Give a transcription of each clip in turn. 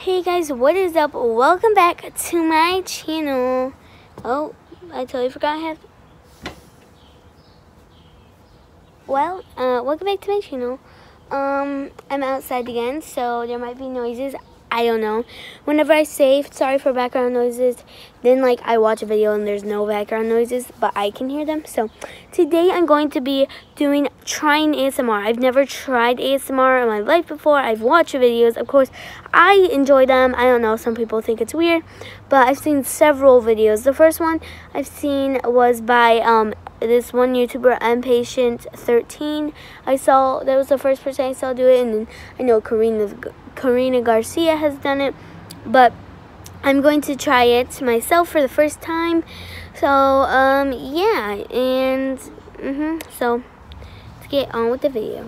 Hey guys, what is up? Welcome back to my channel. Oh, I totally forgot I Well, uh, welcome back to my channel. Um, I'm outside again, so there might be noises. I don't know. Whenever I save, sorry for background noises, then like I watch a video and there's no background noises, but I can hear them. So Today I'm going to be doing trying ASMR. I've never tried ASMR in my life before. I've watched videos. Of course, I enjoy them. I don't know, some people think it's weird, but I've seen several videos. The first one I've seen was by um, this one YouTuber, Patient 13 I saw, that was the first person I saw do it, and I know Karina, Karina Garcia has done it, but I'm going to try it myself for the first time. So, um, yeah, and, mm -hmm, so, let's get on with the video.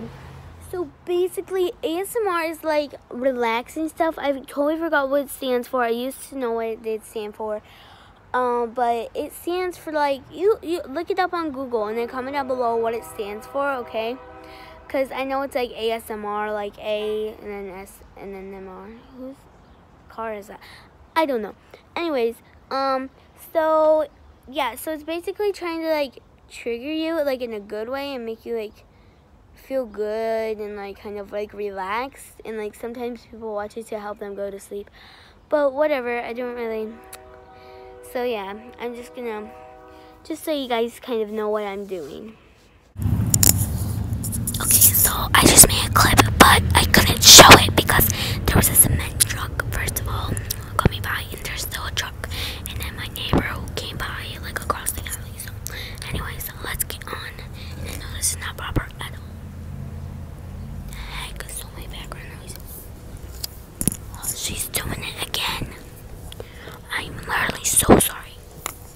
So basically, ASMR is like relaxing stuff. I totally forgot what it stands for. I used to know what it did for. Um, but it stands for like, you, you look it up on Google and then comment down below what it stands for, okay? Because I know it's like ASMR, like A and then S and then M R. Cars, I don't know. Anyways, um, so yeah, so it's basically trying to like trigger you like in a good way and make you like feel good and like kind of like relaxed and like sometimes people watch it to help them go to sleep. But whatever, I don't really so yeah, I'm just gonna just so you guys kind of know what I'm doing. Okay, so I just made a clip, but I couldn't show it because there was a cement truck, first of all, coming by, and there's still a truck. And then my neighbor who came by, like, across the alley. So, anyways, let's get on. And I know this is not proper at all. Heck, so my background noise. Oh, she's doing it again. I'm literally so sorry.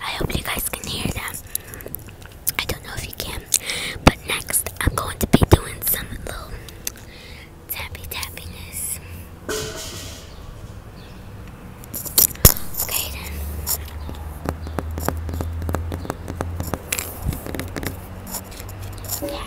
I hope you guys can hear that. I don't know if you can, but next I'm going to be doing some little tappy tappiness. Okay then. Yeah.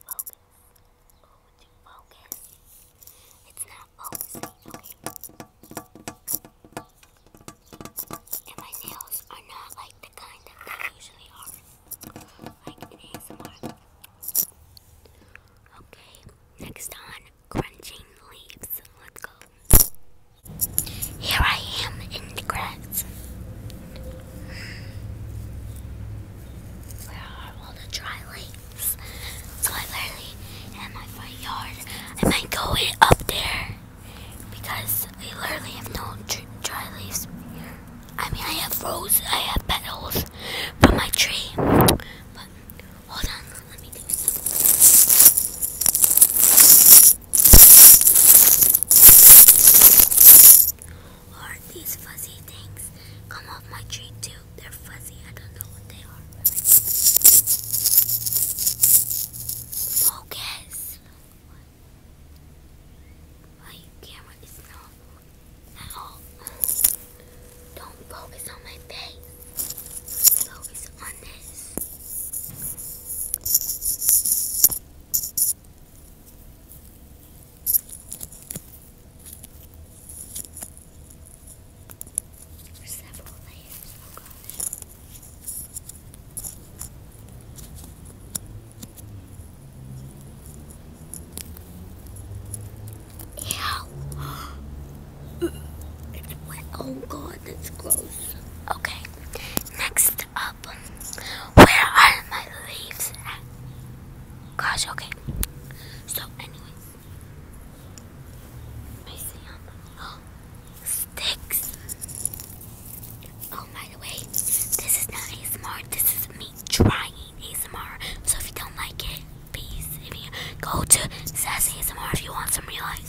focus. focus. It's not focusing, And my nails are not like the kind that they usually are. Okay, next on crunching leaves. Let's go. Here I am in the grass. Where are all the dry lakes? So I literally in my front yard. I might go up there because I literally have no dry leaves here. I mean, I have roses, I have petals from my tree. But hold on, let me do this are these fuzzy things? Come off my tree too. They're fuzzy. I don't know what they are. Focus. My camera is not at all. Don't focus on my face. Focus on this. Oh Ew. It's wet. Oh god, that's gross. Okay. Next up where are my leaves at? Gosh, okay. So, anyways, I sticks. Oh, by the way, this is not ASMR. This is me trying ASMR. So if you don't like it, please if you go to Sassy ASMR if you want some real ASMR.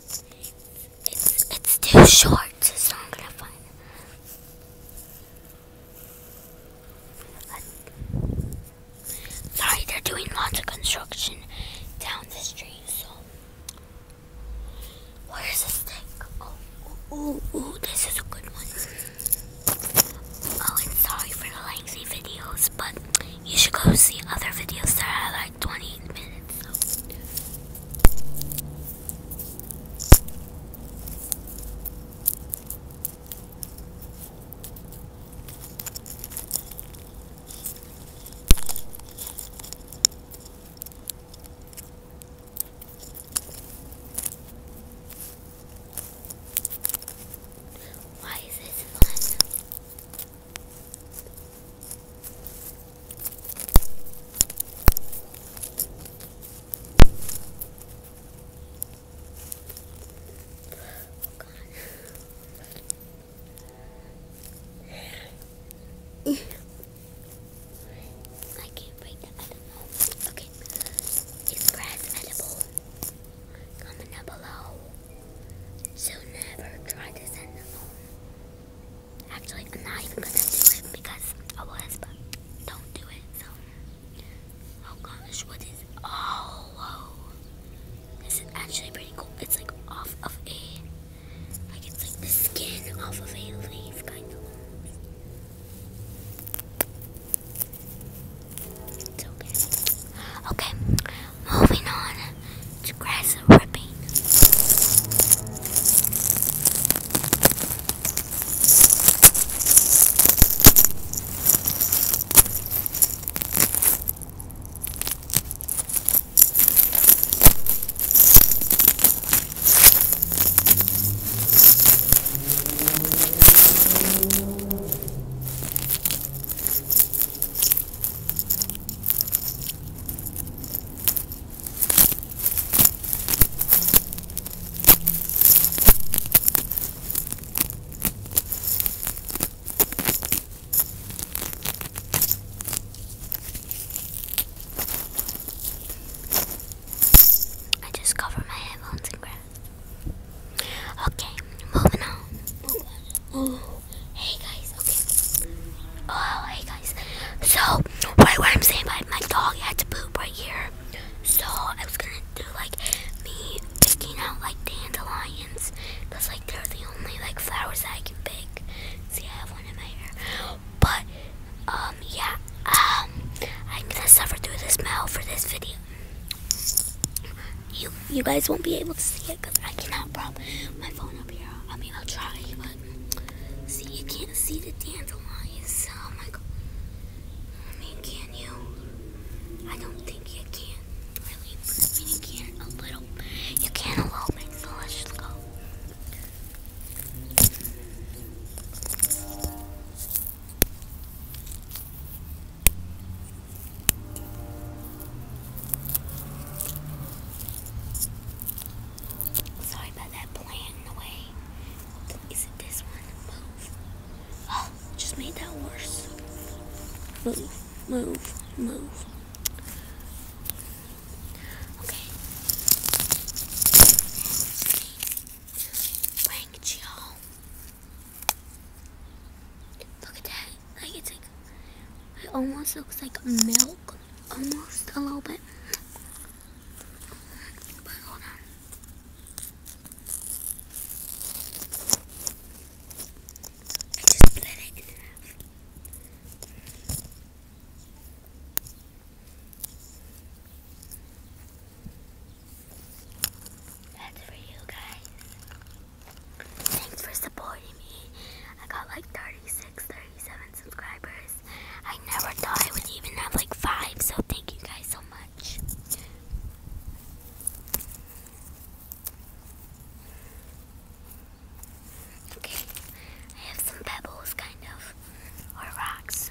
It's, it's too short, so it's not gonna find Sorry, they're doing lots of construction down the street, so. Where is the stick? Oh, ooh, ooh, this is a good one. Oh, and sorry for the lengthy videos, but you should go see other videos that I like. 20 minutes. Why is this fun? I can't break that. Okay. Is grass edible? Comment down below. So never try this at home. Actually, I'm not even gonna do it because I was, but don't do it. oh gosh, what is? Oh, whoa. This is actually pretty cool. It's like off of a, like it's like the skin off of a leaf, kind of. It's okay. Okay, Moving on to grass ripping. I just cover my headphones in grass. Okay, moving on. Oh hey guys, okay. Oh, hey guys. So, right what I'm saying about my dog had to poop right here. So, I was gonna do like me picking out like dandelions because like they're the only like flowers that I can pick. See, I have one in my hair. But, um, yeah, um, I'm gonna suffer through the smell for this video. You, you guys won't be able to see it because I cannot prop my phone up here. I mean, I'll try, but see, you can't see the dandelions. Oh my I mean, can you? I don't think you can. Really, I you can a little. You can a little bit, let's just go. Sorry about that plant in the way. Is it this one? Move. Oh, just made that worse. Move, move, move. Okay. Look at that. I get to it almost looks like milk, almost a little bit. But hold on. I just split it in half. That's for you guys. Thanks for supporting me. I got like 36, 37 subscribers. I never thought I would even have like 5, so thank you guys so much. Okay, I have some pebbles, kind of, or rocks.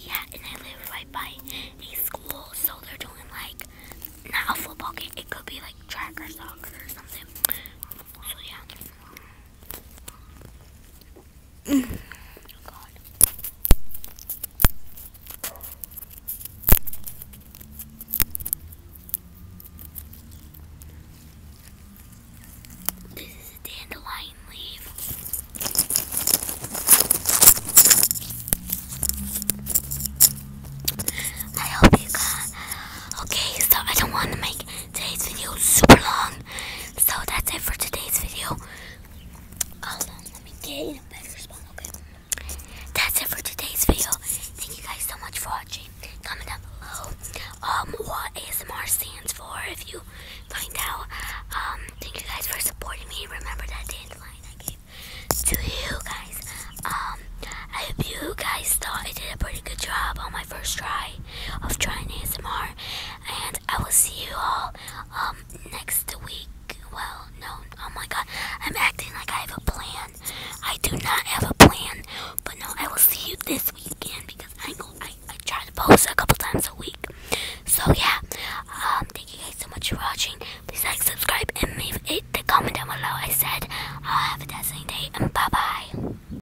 Yeah, and they live right by a school, so they're doing like not a football game. It could be like track or soccer or something. So yeah. This is a dandelion leaf. I hope you got okay, so I don't want to make today's video super long. So that's it for today's video. Um, that's it for today's video. Thank you guys so much for watching. Comment down below um, what ASMR stands for if you find out. Um, thank you guys for supporting me. Remember that dandelion I gave to you guys. Um, I hope you guys thought I did a pretty good job on my first try of trying ASMR, and I will see you all um, next week. Well, no, oh my god, I'm acting like I have a plan. I do not have a plan, but no, I will see you this weekend because I go, I, I try to post a couple times a week. So yeah, um, thank you guys so much for watching. Please like, subscribe, and leave a comment down below. I said, I'll uh, have a dazzling day, and bye bye.